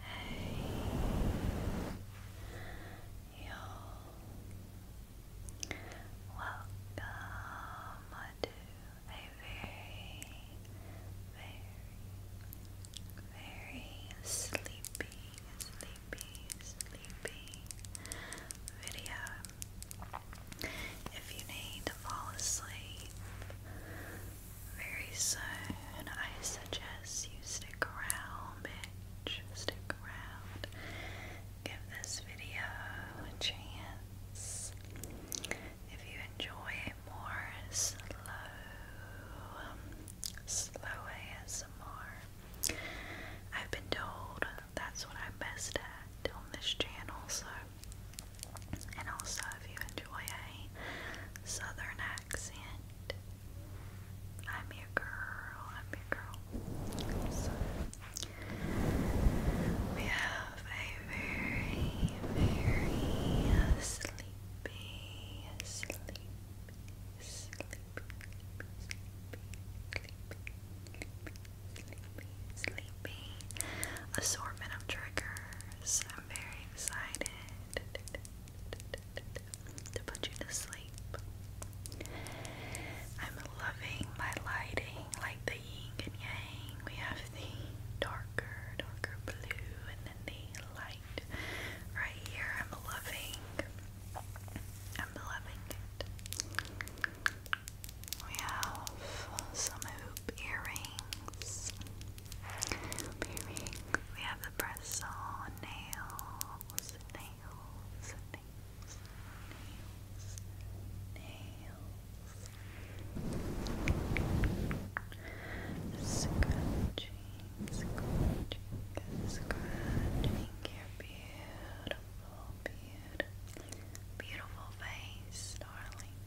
Hey, yo, welcome to a very, very, very sleepy, sleepy, sleepy video. If you need to fall asleep very soon, I suggest you stick around, bitch. Stick around. Give this video a chance. If you enjoy a more slow, um, slow ASMR, I've been told that's what I'm best at on this channel. So, and also if you enjoy a southern accent, I'm your girl. I'm your girl. So, we have very, very sleepy, sleepy, sleepy, sleepy, sleepy, sleepy, sleepy assortment of triggers. I'm very excited to put you to sleep. I'm loving my lighting, like the yin and yang. We have the darker, darker blue, and then the light right here. I'm loving. I'm loving it. We have some hoop earrings. earrings. We have the press on nails, nails, nails, nails, nails. Scratching, scratching, scratching. You're beautiful beautiful, face, darling.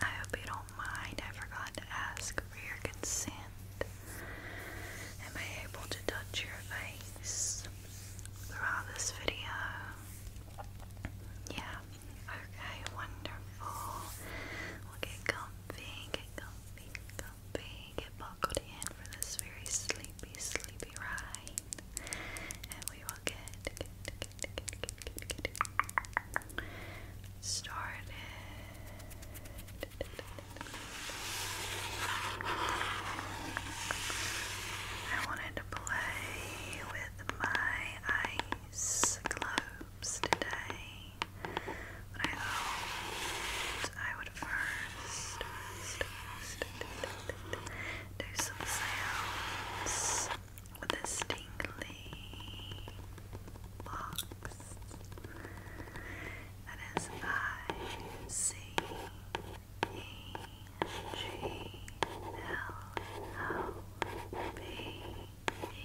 I hope you don't mind. I forgot to ask for your consent. Am I able to touch your face throughout this video? Yeah. Okay, wonderful. We'll get comfy, get comfy, get comfy, get buckled in for this very sleepy, sleepy ride and we will get, started. I wanted to play with my ice globes today, but I thought I would first do some sounds the Stingley box. That is I C E G L O B E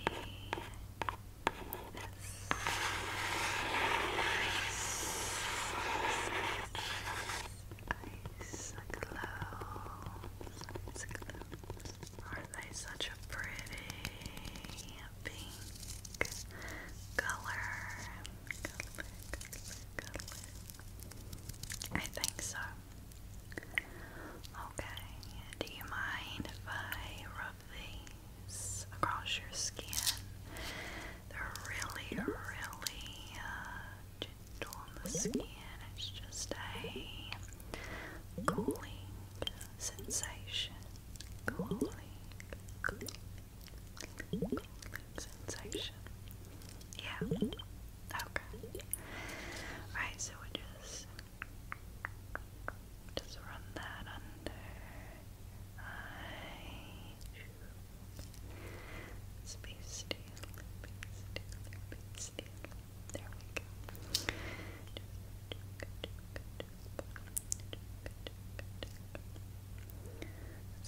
S. Ice, glow are they such a pretty pink color? I think so. Okay, do you mind if I rub these across your skin? They're really, really uh, gentle the skin. It's just a cooling sensation. Cooling, cooling, sensation. Yeah. Okay. Right, so we just just run that under. I Space still,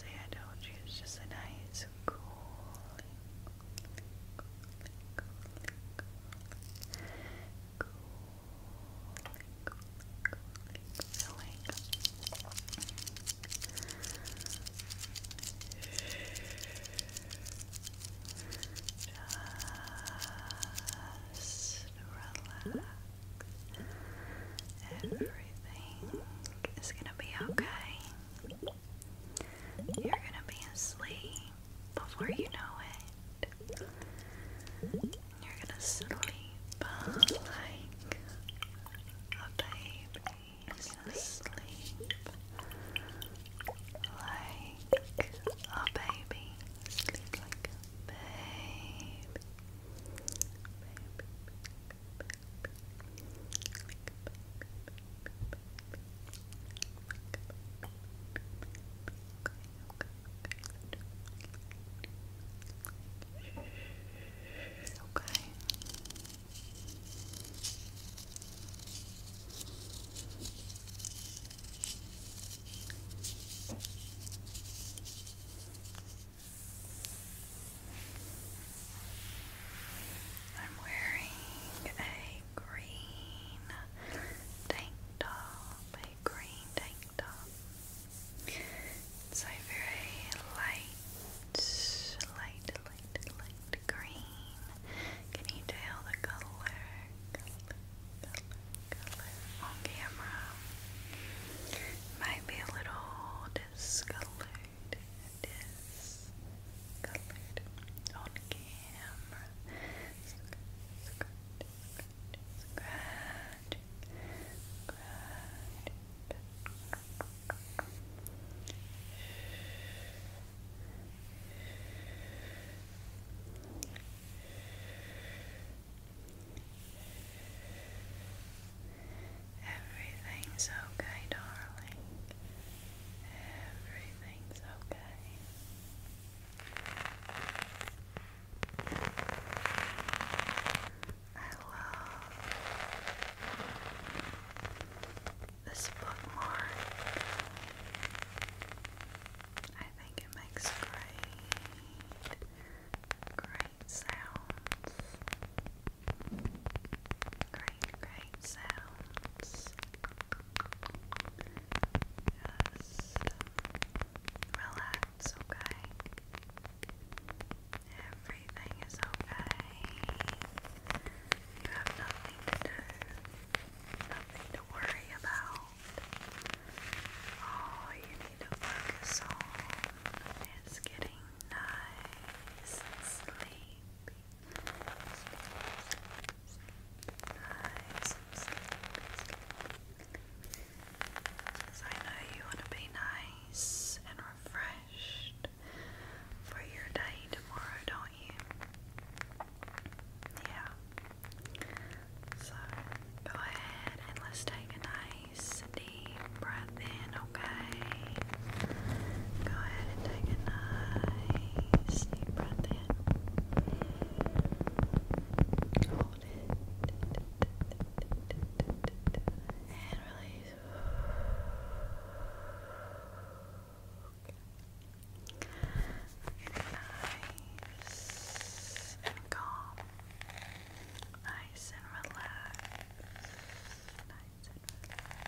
I told you it's just a nice cooling, cooling, cooling, cooling, cooling, just relax. Everything is gonna be okay. You're gonna be asleep before you know it. You're gonna sleep like a baby is like a baby. Sleep like a baby. Okay. I'm wearing a green tank top, a green tank top. It's a very light, light, light, light, green. Can you tell the color? on camera. Might be a little discolored. on camera. Everything's okay, darling. Everything's okay. I love this book more. I think it makes great, great sounds. Great, great sounds. Just relax, okay? Everything is okay. You have nothing to nothing to worry about. All you need to focus on is getting nice sleepy. Nice and I know you want to be nice and refreshed for your day tomorrow, don't you? Yeah. So go ahead and let's take a nice deep breath in, okay? Go ahead and take a nice deep breath in. Hold it. And release. Nice and calm. Nice and relaxed. Nice and relaxed.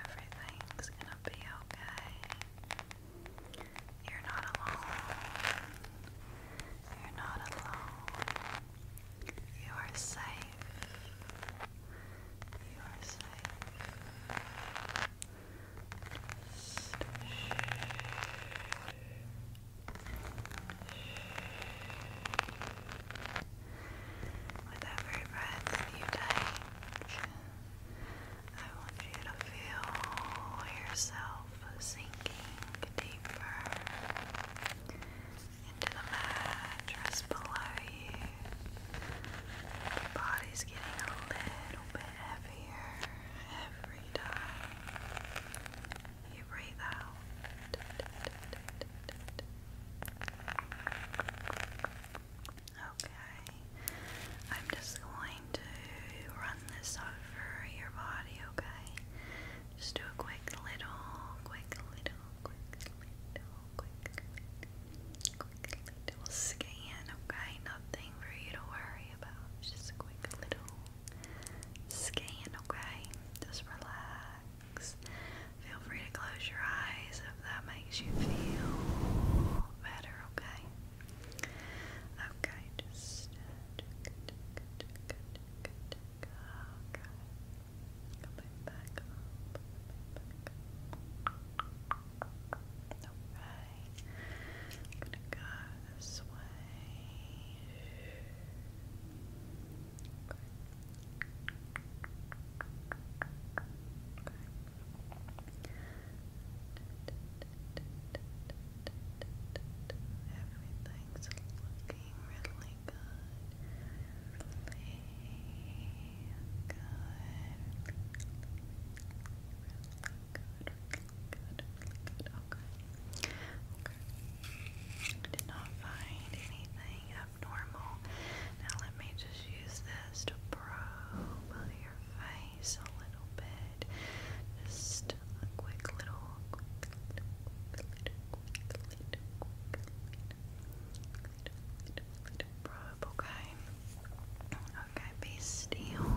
Everything's gonna be okay. You're not alone. You're not alone. You are safe. You are safe. shh. With every breath you take, I want you to feel yourself sinking deeper into the mattress below you. Your body's getting a little bit heavier every you breathe out. Okay. I'm just going to run this over your body, okay? Just do a quick little, quick little, quick little, quick little, quick little scan, okay? Nothing for you to worry about. Just a quick little skin, okay? Just relax. Feel free to close your eyes if that makes you feel better, okay? Okay, just Everything's looking really good. Really good. Really good. Really good. Really good. Okay. Did not find anything abnormal. Now let me just use this to probe your face a little bit. Just a quick little, probe. Okay. Okay. Be still.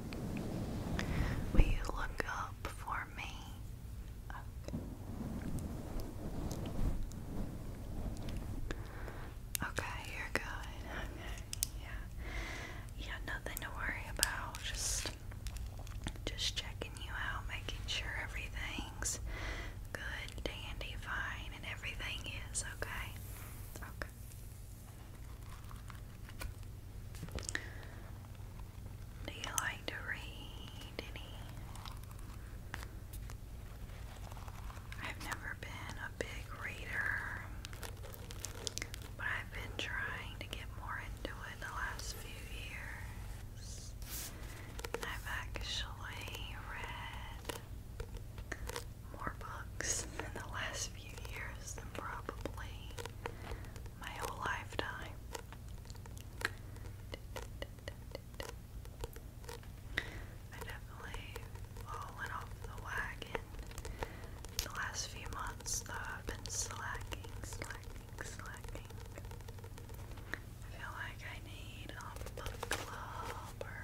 Will you look up for me? Okay, you're good. yeah. Yeah, nothing to worry about. Just just checking you out, making sure everything's good, dandy, fine, and everything is okay. Okay. Do you like to read any? I've never been a big reader, but I've been trying to get more into it the last few years. I've actually read more books in the last few years than probably my whole lifetime. I definitely fallen off the wagon the last few months though I've been slacking, slacking, slacking. I feel like I need a book club or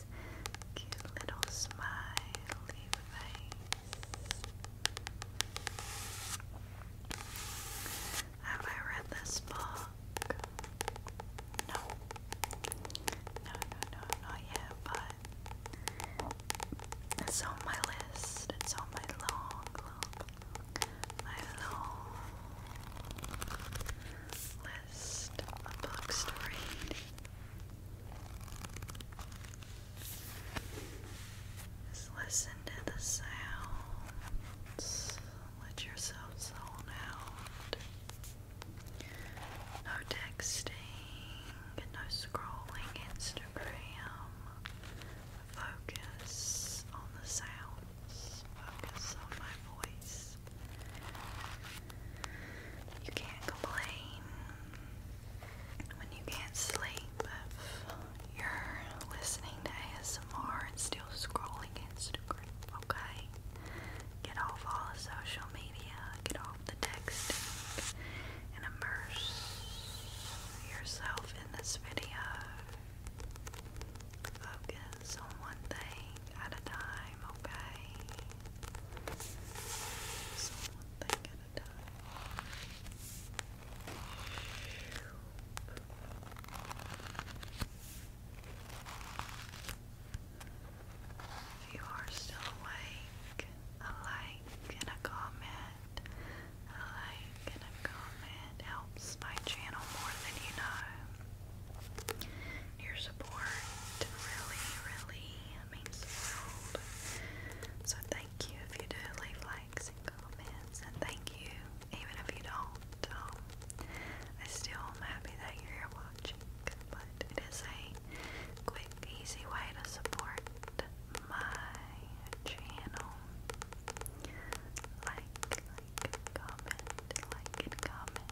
face. little smiley face. Have I read this book? No. No, no, no, not yet, but it's on my list. It's on my long, long, my long list of books to just listen to the sounds. Let yourself zone out. No texting, no scrolling Instagram. Focus on the sounds. Focus on my voice. You can't complain when you can't sleep you're listening to ASMR and still scrolling Instagram, okay? Get off all the social media, get off the texting, and immerse yourself in this video. Focus on one thing at a time time, okay? So you are still awake, a like and a comment, a like and a comment helps my channel more than you know. Your support really, really means the world. So thank you if you do leave likes comments, and thank you even if you don't. Um, I still am happy that you're watching, but it is a quick, easy way to support my channel. Like, like, comment, like, and comment,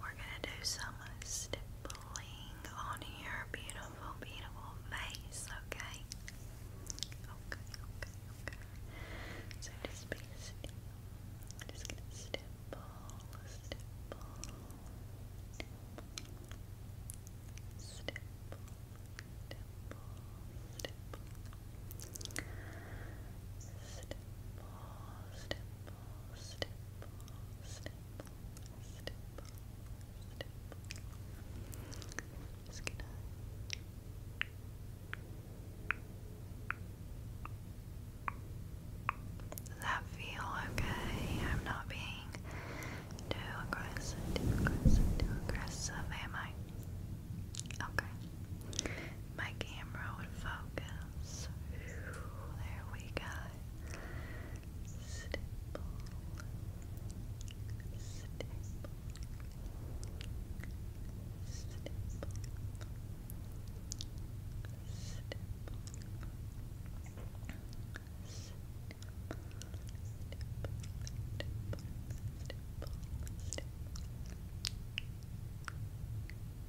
We're gonna do some stippling on your beautiful, beautiful face, okay? Okay, okay, okay. So just be still. just gonna stipple, stipple, stipple, stipple, stipple, stipple, stipple stipple, stipple, does that feel okay? I'm not being too aggressive, too aggressive, too aggressive, am I? Okay my camera would focus. There we go.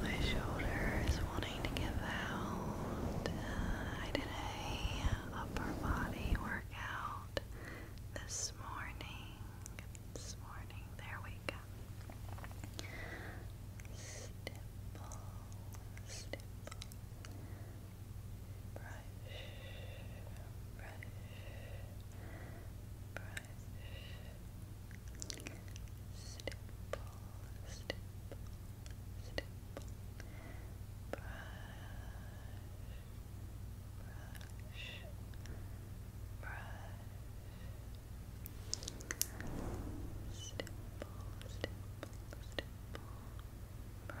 my shoulder is wanting to give out. I did a upper body workout this morning. This morning, there we go. Stipple, stipple. Brush, brush, brush brush. Stipple, stipple, Brush, brush, brush. Stipple, stipple, stipple. brush, brush, brush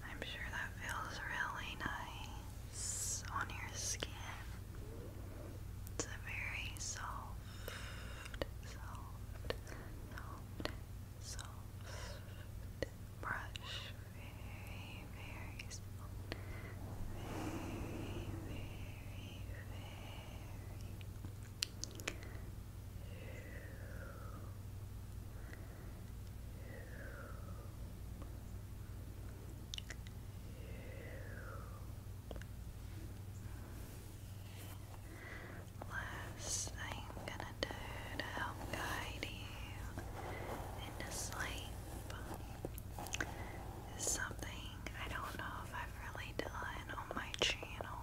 I'm sure that feels really nice on your skin. It's a very soft, soft, soft, soft brush very, Last thing I'm gonna do to help guide you into sleep is something I don't know if I've really done on my channel.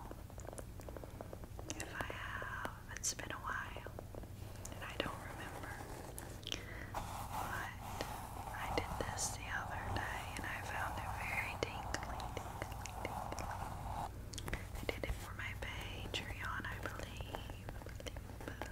If I have, it's been a while and I don't remember. But I did this the other day and I found it very tingly, I did it for my Patreon, I believe. believe,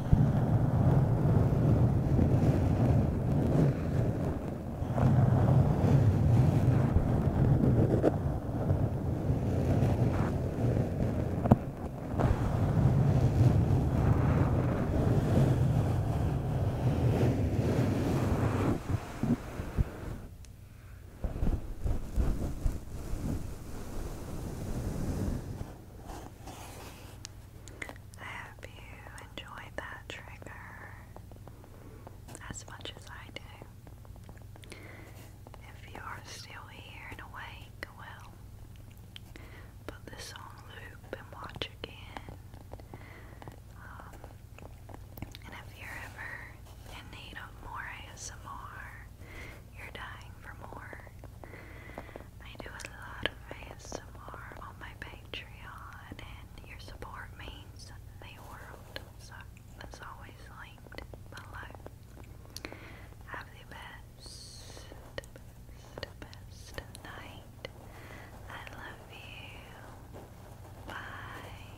I hope you enjoyed that trigger as much as I do. If you are still here and awake, well, put this on loop and watch again. Um, and if you're ever in need of more ASMR, you're dying for more, I do a lot of ASMR on my Patreon, and your support means the world. So that's always linked below. Have the best, best, best night. I love you. Bye.